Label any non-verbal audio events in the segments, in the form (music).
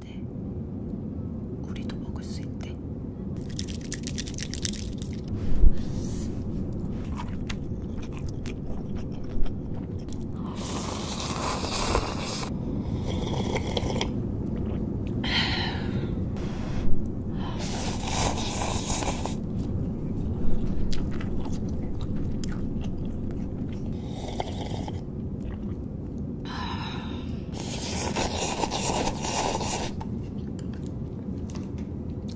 된대. 우리도 먹을 수 있대.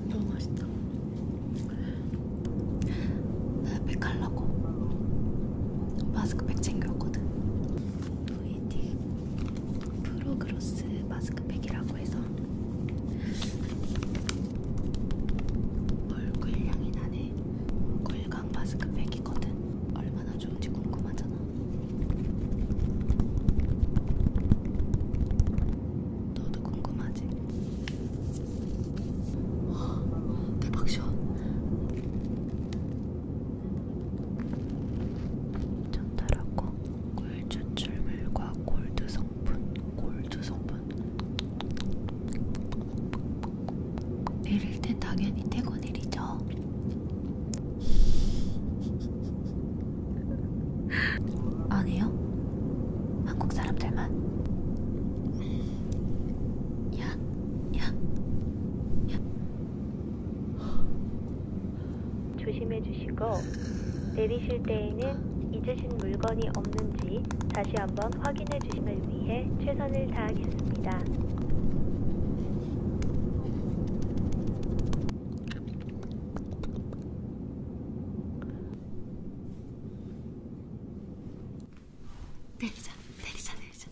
너무 맛있다. 백 갈라고 마스크팩 챙겼거든. VD 프로그로스 마스크팩이라고 해서 얼굴 향이 나네. 얼굴 일광 마스크팩이거든. 얼마나 좋은지 궁금하잖아. 너도 궁금하지? 와, 대박 시원. 전달하고 꿀 추출물과 골드 성분, 골드 성분. 내릴 땐 당연히 태고 내리죠. 아니요? 한국 사람들만? 야, 야, 야. 조심해 주시고, 내리실 때에는 잊으신 물건이 없는지 다시 한번 확인해 사랑해 주심을 위해 최선을 다하겠습니다. 내리자, 내리자, 내리자.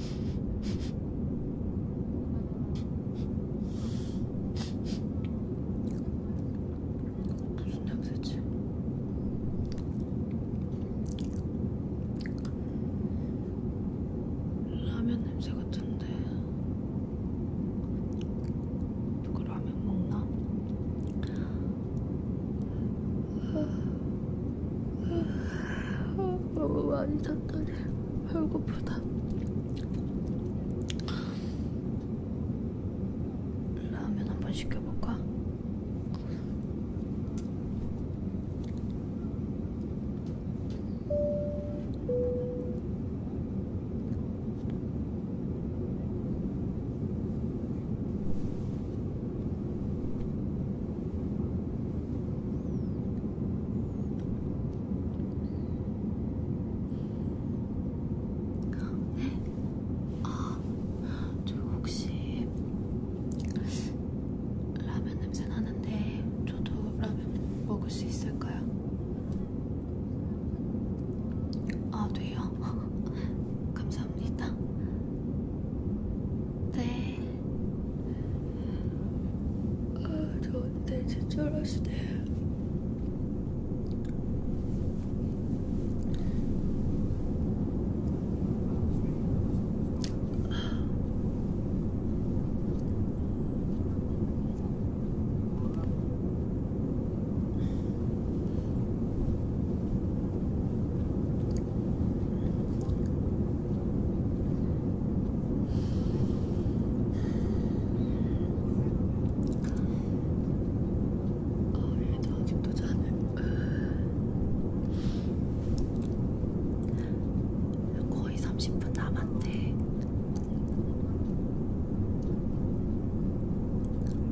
무슨 냄새지? 라면 냄새 같은데 누가 라면 먹나? 너무 많이 잤더니 배고프다. 라면 한번 시켜볼까? 아, 저 혹시 라면 냄새 나는데 저도 라면 먹을 수 있을까요? 아, 돼요? (laughs) 감사합니다. 네. 아, 저 그때 진짜 어렸을 때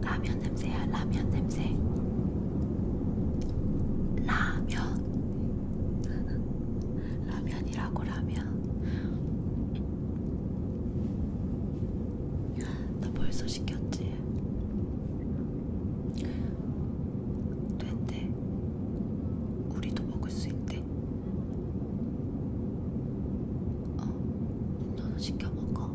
라면 냄새야, 라면 냄새. 라면. (laughs) 라면 시간이라고라면 너 벌써 시켰지? 된대. 우리도 먹을 수 있대. 어, 너도 시켜 먹어.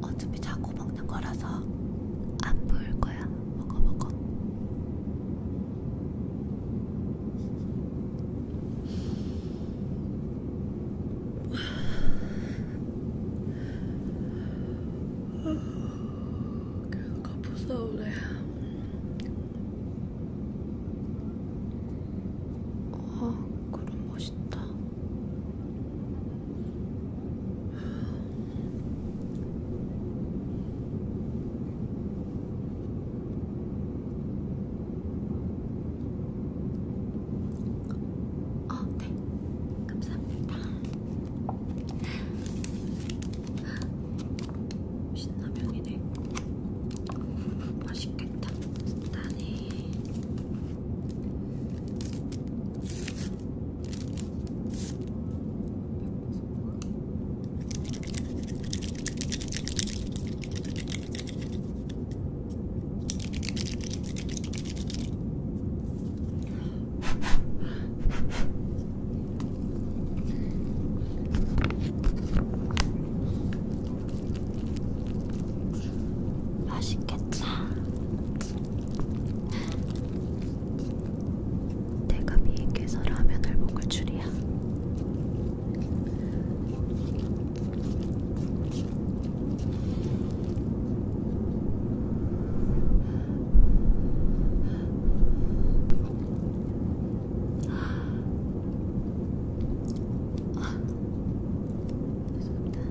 어차피 자꾸 먹는 거라서 안 보일 거야. 먹어 먹어. 그래도 거품 싸우래. 어, 그럼 멋있다. 어, 네. 감사합니다. 신라면이네. 맛있겠다. 나네. 맛있겠다. 내가 미인께서 라면을 먹을 줄이야. 아, 죄송합니다.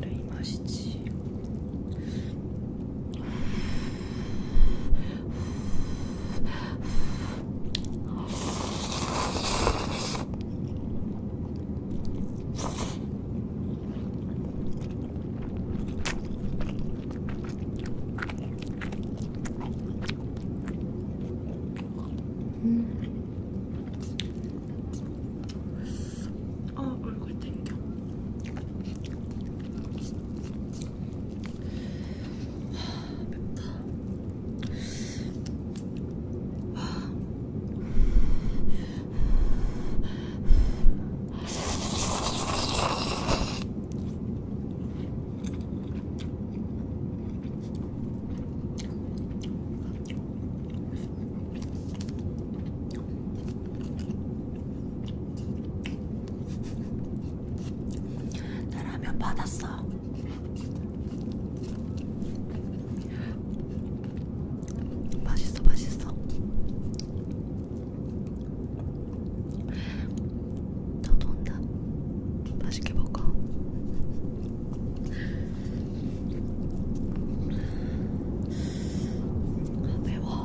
그래 이 맛이지. 음. 어, 얼굴 땡겨. 하, 맵다. 하. 나 라면 받았어. 맛있어, 맛있어. 나도 온다. 맛있게 먹어. 아, 매워.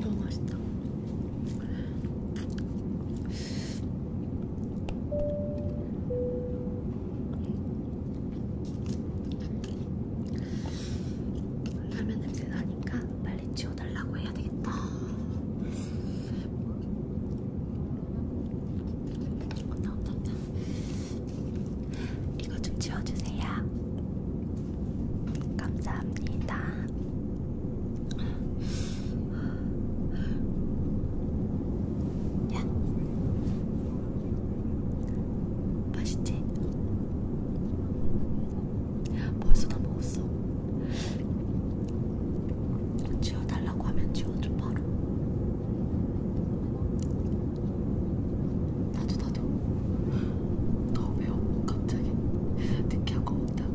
너무 맛있다. 라면 냄새 나니까 빨리 치워달라고 해야 되겠다. 온다 온다 온다. 이거 좀 지워주세요. 감사합니다. 야, 맛있지? 벌써 다 먹었어. 지워달라고 하면 지워줘 바로. 나도 나도 더 매워 갑자기 느끼한 거 먹다가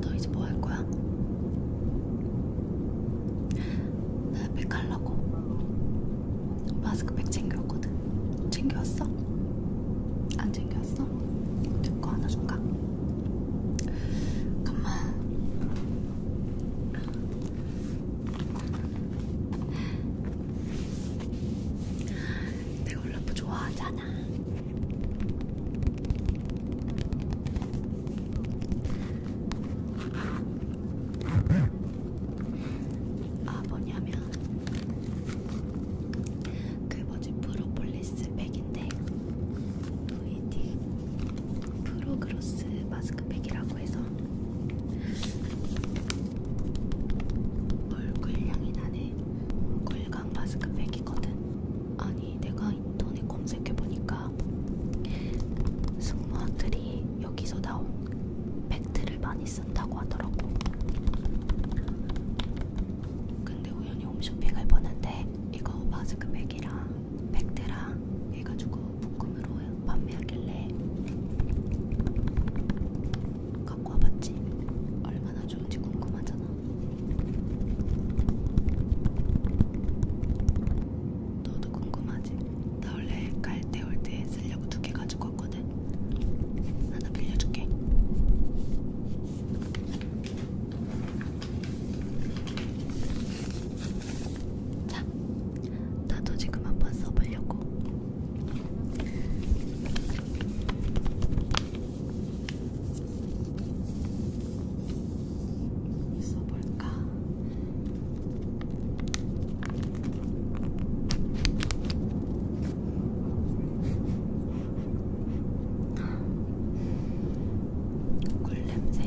너 이제 뭐 할 거야? 나백 갈라고 마스크팩 챙겨왔거든 챙겨왔어? 안 챙겨왔어? 내거 하나 줄까? 잠깐만 내가 롤라프 좋아하잖아. 아 뭐냐면 그 뭐지 프로폴리스 백인데 VD 프로그로스 마스크팩이라고 해서 얼굴 향이 나는 골강 마스크팩이거든. 아니 내가 인터넷 검색해보니까 승무원들이 여기서 나온 팩트를 많이 쓴다고 하더라고. 근데 우연히 홈쇼핑을 보는데 이거 마스크팩이랑 백대라 해가지고 묶음으로 판매하길래 갖고 와봤지. 얼마나 좋은지 궁금하잖아. 너도 궁금하지? 나 원래 갈 때 올 때 쓰려고 두 개 가지고 왔거든. 하나 빌려줄게. 자, 나도 지금 한번 써보려고. 써볼까? 꿀 냄새.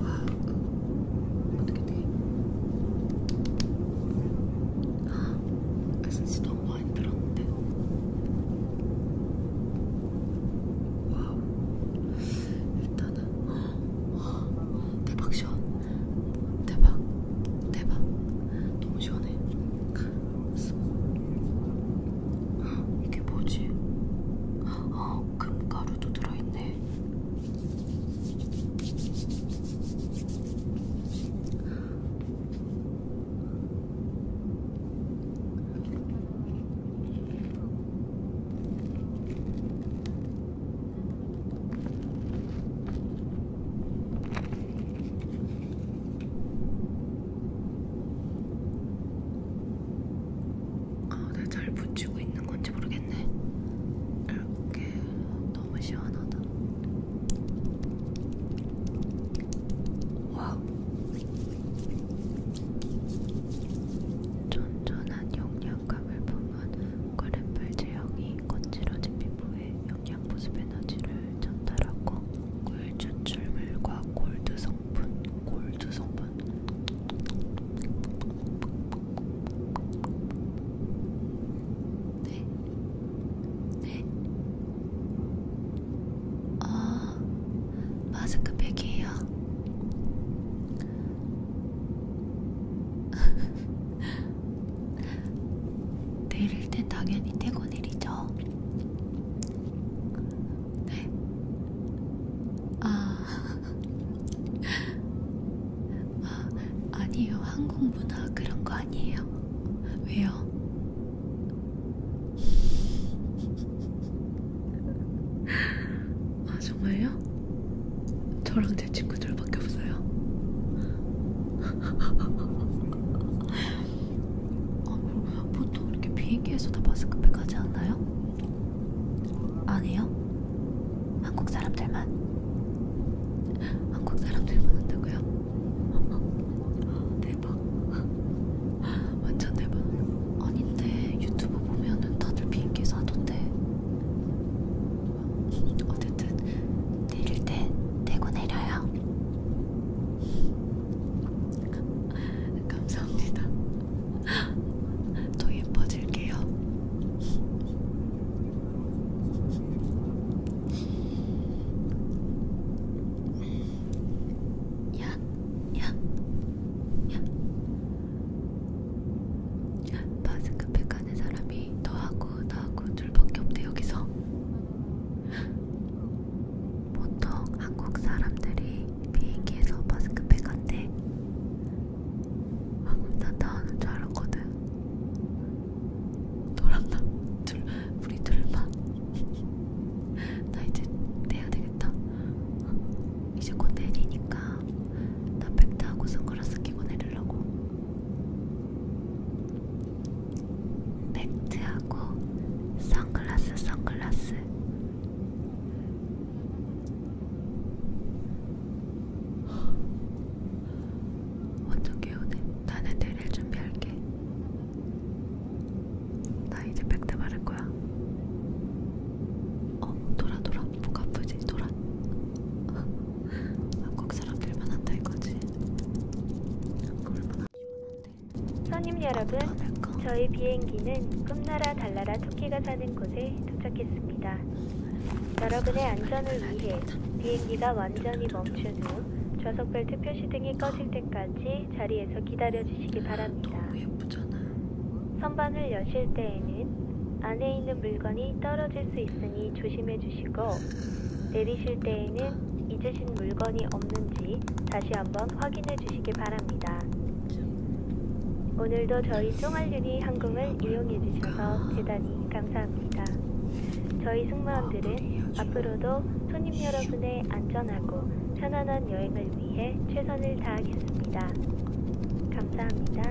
와, 어떻게 돼? 아, 에센스 너무 많이 들었는데. 와우. 일단은, 와, 대박 시원. 대박, 대박. 너무 시원해. 이게 뭐지? 아, 금가루도 들어있네. 아, 내가 잘 붙이고 있는 건지 모르겠네. 이렇게 너무 시원하다. 와우. 쫀쫀한 용량 영감을 품은 그래플 제형이 거칠어진 피부에 영양보습 에너지를 전달하고 꿀 추출물과 골드 성분, 골드 성분 네? 네? 아, 마스크팩이에요. (laughs) 내릴 땐 당연히 태고 내리죠. 네. 아, (laughs) 아 아니에요. 한국 문화 그런 거 아니에요. 왜요? (laughs) 아 정말요? 저랑 제 친구들밖에 없어요. (laughs) 아, 뭐, 보통 이렇게 비행기에서 다 마스크팩 하지 않나요? 아니요. 한국 사람들만. 한국 사람들만 한다고요? (laughs) 대박. (laughs) 완전 대박. 아닌데 유튜브 보면은 다들 비행기에서 하던데. 어쨌든 내릴 때 대고 내려요. 감사합니다. 더 예뻐질게요. 야, 야, 야, 바스크팩 가는 사람이 너하고 나하고 둘밖에 없대 여기서 보통 한국 사람들이 비행기에서 바스크팩 간대 아나 나오는 줄 알았거든 너랑 나 둘, 우리 둘만 (laughs) 나 이제 내야 되겠다 이제 곧 내리니까 나 팩트하고 선글라스 끼고 내리려고 팩트하고 선글라스 선글라스 완전 개운해 나는 내릴 준비할게 나 이제 팩트 바를 거야 어 돌아 돌아 돌아 뭐가 아프지 돌아 (laughs) 한국 사람들만 한다 이거지 얼마나 선임 여러분 아, 저희 비행기는 꿈나라 달나라 토끼가 사는 곳에 도착했습니다 여러분의 아, 안전을 아, 위해 비행기가 완전히 멈춘 후 좌석벨트 표시 등이 꺼질 때까지 자리에서 기다려주시기 바랍니다 너무 예쁘잖아요 선반을 여실 때에는 안에 있는 물건이 떨어질 수 있으니 조심해 주시고 내리실 때에는 잊으신 물건이 없는지 다시 한번 확인해 주시기 바랍니다. 오늘도 저희 쫑알윤이 항공을 이용해 주셔서 대단히 감사합니다. 저희 승무원들은 앞으로도 손님 여러분의 안전하고 편안한 여행을 위해 최선을 다하겠습니다. 감사합니다.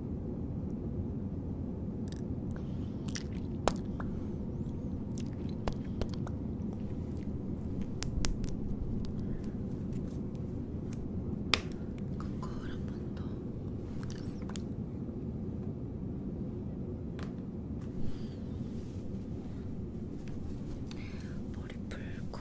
거울 한번 더. 머리 풀고.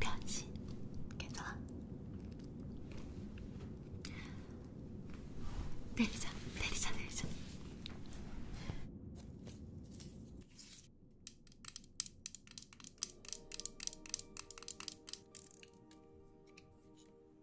변신 괜찮아? 내리자 내리자 내리자